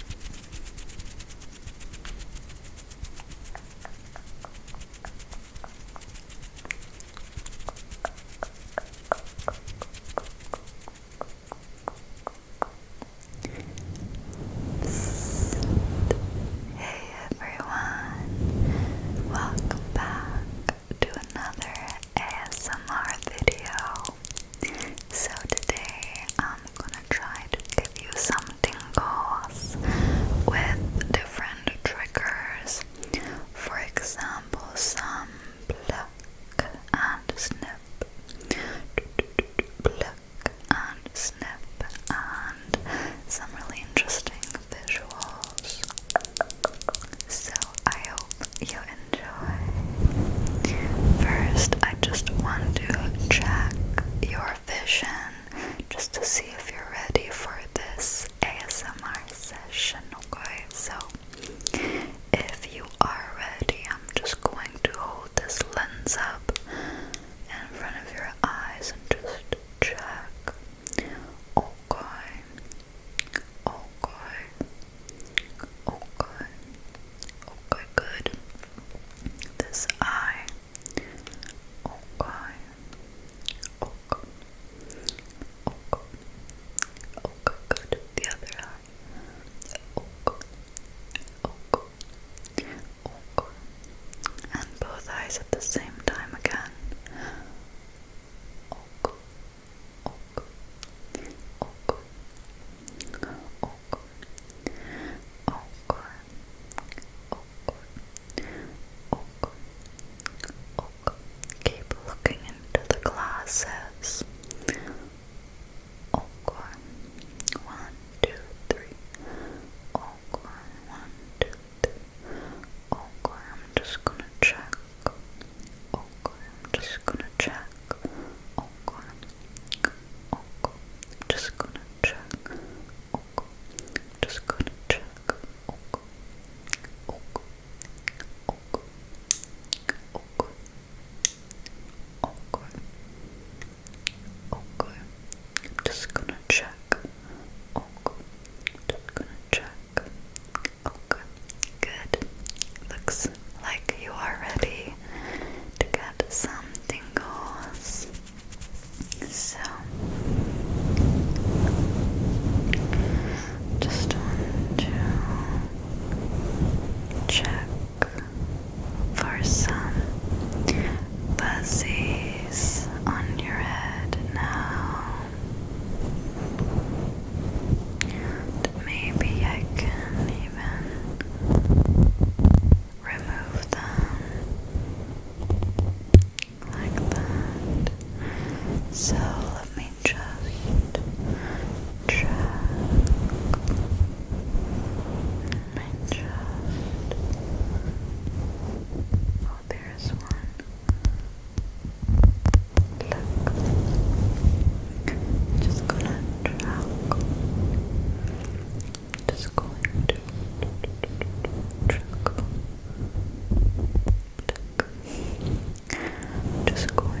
Hey everyone, welcome back to another ASMR video. So today I'm gonna try to give you something, tingles with different triggers. For example, some pluck and snip, pluck and snip, and some really interesting visuals. So I hope you enjoy. First, I just want to check your vision just to see if you're ready for this ASMR session, okay? So, if you are ready, I'm just going to hold this lens up in front of your eyes and just check. Okay. Okay. Okay. Okay, good. This eye. Okay. Okay. Okay. Okay, good. The other eye. Okay. Okay. Okay. And both eyes at the same time again. Okay. Okay. Okay. Okay oko, oko, Keep looking into the glasses. one, two, three. one, two, three. I'm just gonna check. I'm just gonna check. Okay, just gonna check. Okay, just gonna check. Okay, okay, okay, okay, okay, okay. Just gonna check. Okay, just gonna check. Okay, good. Looks like you are ready to get something tingles. So, just to check for some fuzzies on your head now. maybe I can even remove them like that. So let me just check. Let me just. Oh, there's one. Look. Just gonna track. Just going to track. Just going to just going to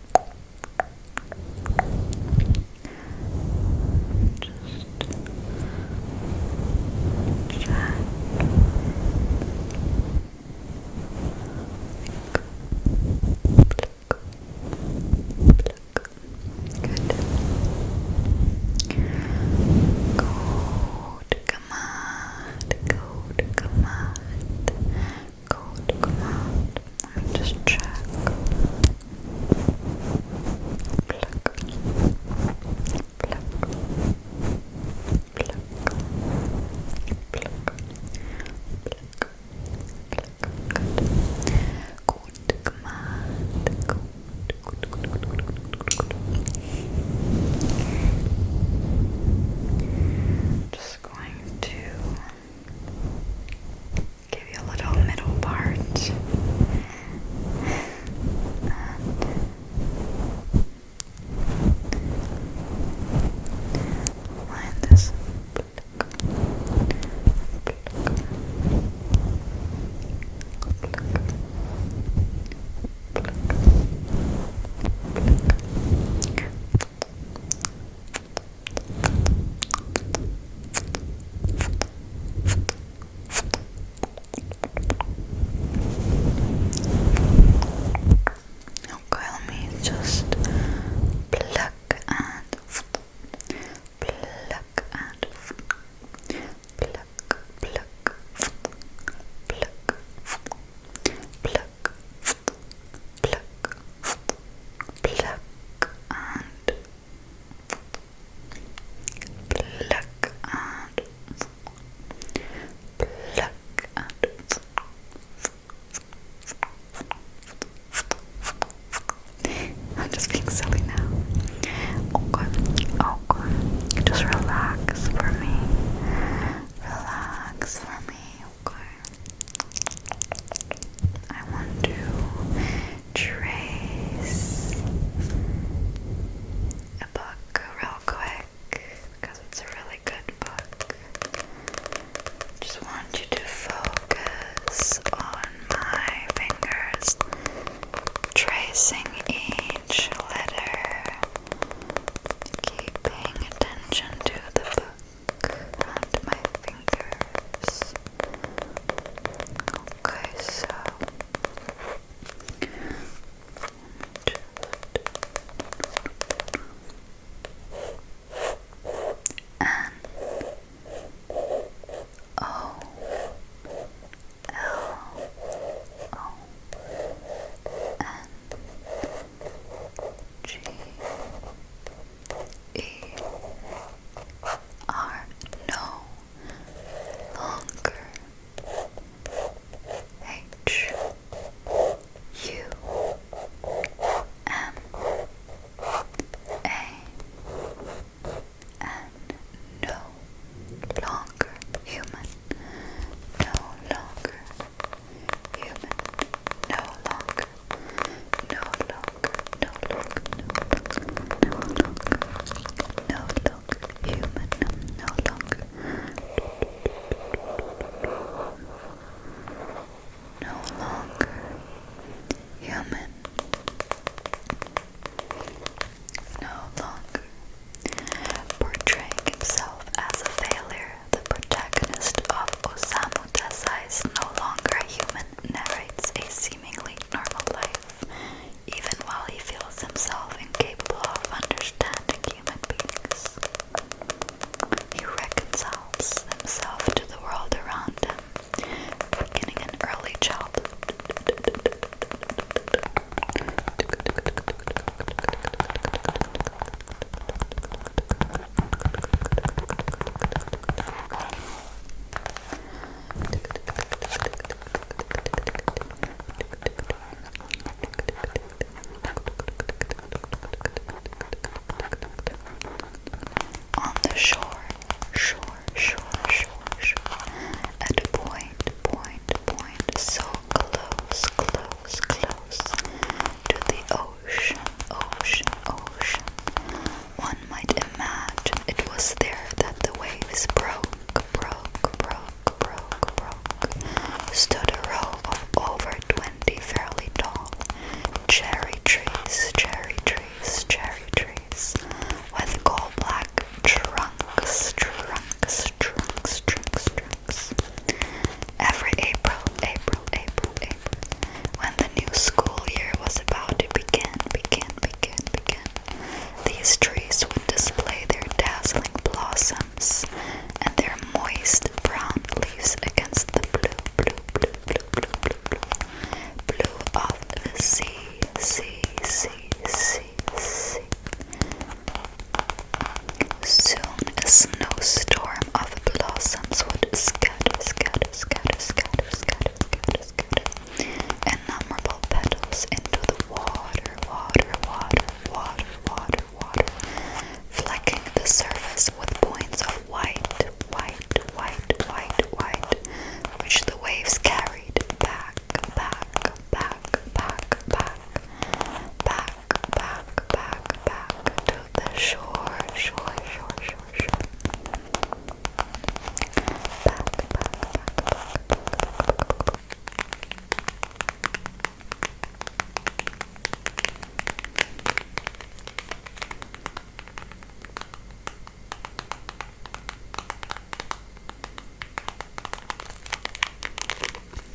Just check. Good. Gold, come on, gold, come on code come just check. Pluck. Pluck. Pluck. Pluck. Pluck. Good. Good command. Just going to give you a little middle part line this Okay, let me just pluck and pluck and pluck, pluck, pluck, pluck, pluck pluck and pluck and pluck and I'm just being silly now. Okay, oh, okay. Oh, just relax for me. Relax for me, okay. Oh, I want to trace a book real quick because it's a really good book. Just want you to focus on my fingers, tracing each letter, keeping attention to the book around my fingers. Okay, so and oh. L O N G we are no longer H U M A and no longer human, no longer human. No longer, no longer, no longer, no longer, no longer human. No longer, no longer human. No longer portraying himself as a failure the protagonist of Osamu Dazai's No Longer Human narrates a seemingly normal life, even while he feels himself incapable of understanding human beings. He reconciles himself to the world around him, beginning in early childhood. On the shore, shore, shore, shore, shore. a point, point, point, so close, close, close to the ocean ocean, ocean, ocean. One might imagine it was there that the waves broke, broke, broke, broke, broke. Stood a row of over twenty fairly tall cherry trees, cherry trees, cherry trees, with coal black trunks, trunks, trunks, trunks, books. Every April, April, April, April, when the new school year was about to begin, begin, begin, begin, these trees would display their dazzling blossoms and their moist brown leaves against the blue, blue, blue, blue, blue, blue, blue, blue of the sea, sea, sea, sea, sea. Soon a snowstorm of blossoms would scatter, scatter, scatter, scatter, scatter, scatter, scatter, innumerable petals into the water, water, water, water, water, water, flecking the surface with points of white, white, white, white, white, which the waves carried back, back, back, back, back, back, back, back, back to the shore, shore, shore, shore, shore. Back, back, back, back, back, back, back.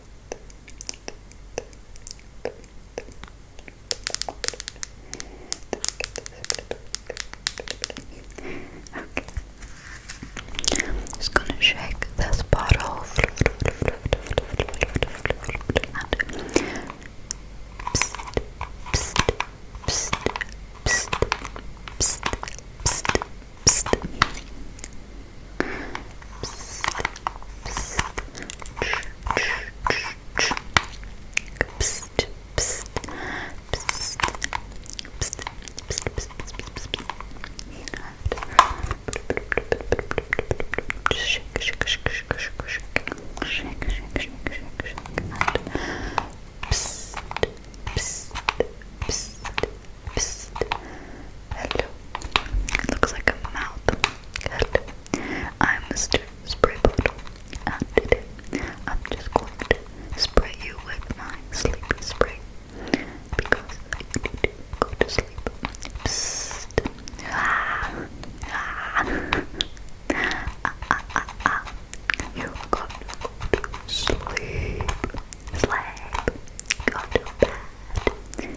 Okay. I'm just gonna shake this bottle shake, shake, shake, shake, Psst. Hello. It looks like a mouth. Hello. I'm Mr. Spray Bottle, and I'm just going to spray you with my sleepy spray because I need to go to sleep. Ah. Ah. Ah, ah, You got to sleep. Sleep. Go to bed.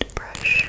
and brush.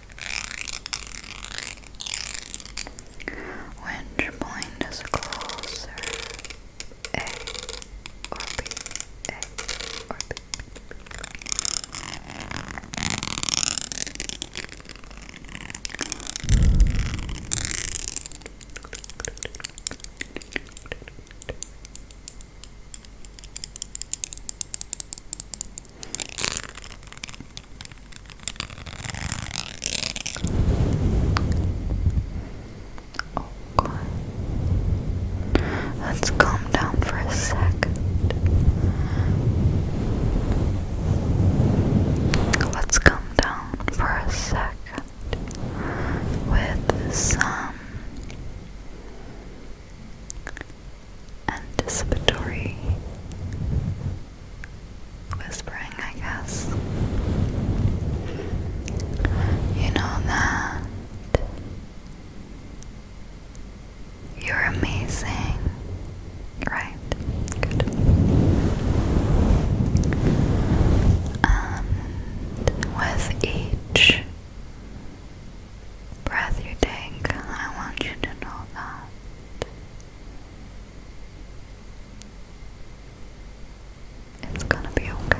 Which point is closer? A or B? A or B? Okay. Let's calm down for a second. Let's calm down for a second with some anticipatory whispering, I guess. You know that you're amazing, right? Good. And with each breath you take, I want you to know that it's gonna be okay.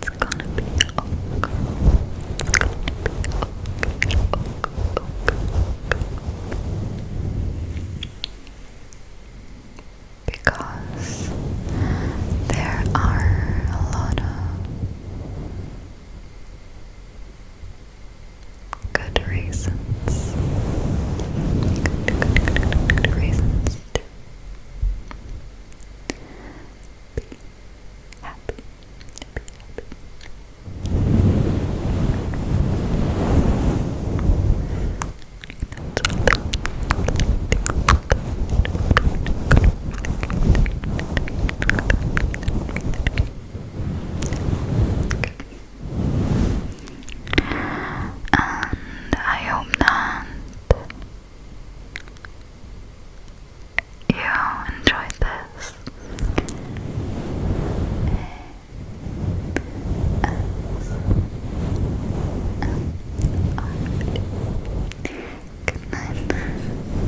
It's gonna be okay. Because there are a lot of Good reasons. Good, reasons happy. happy. And I hope that you enjoyed this. Good night.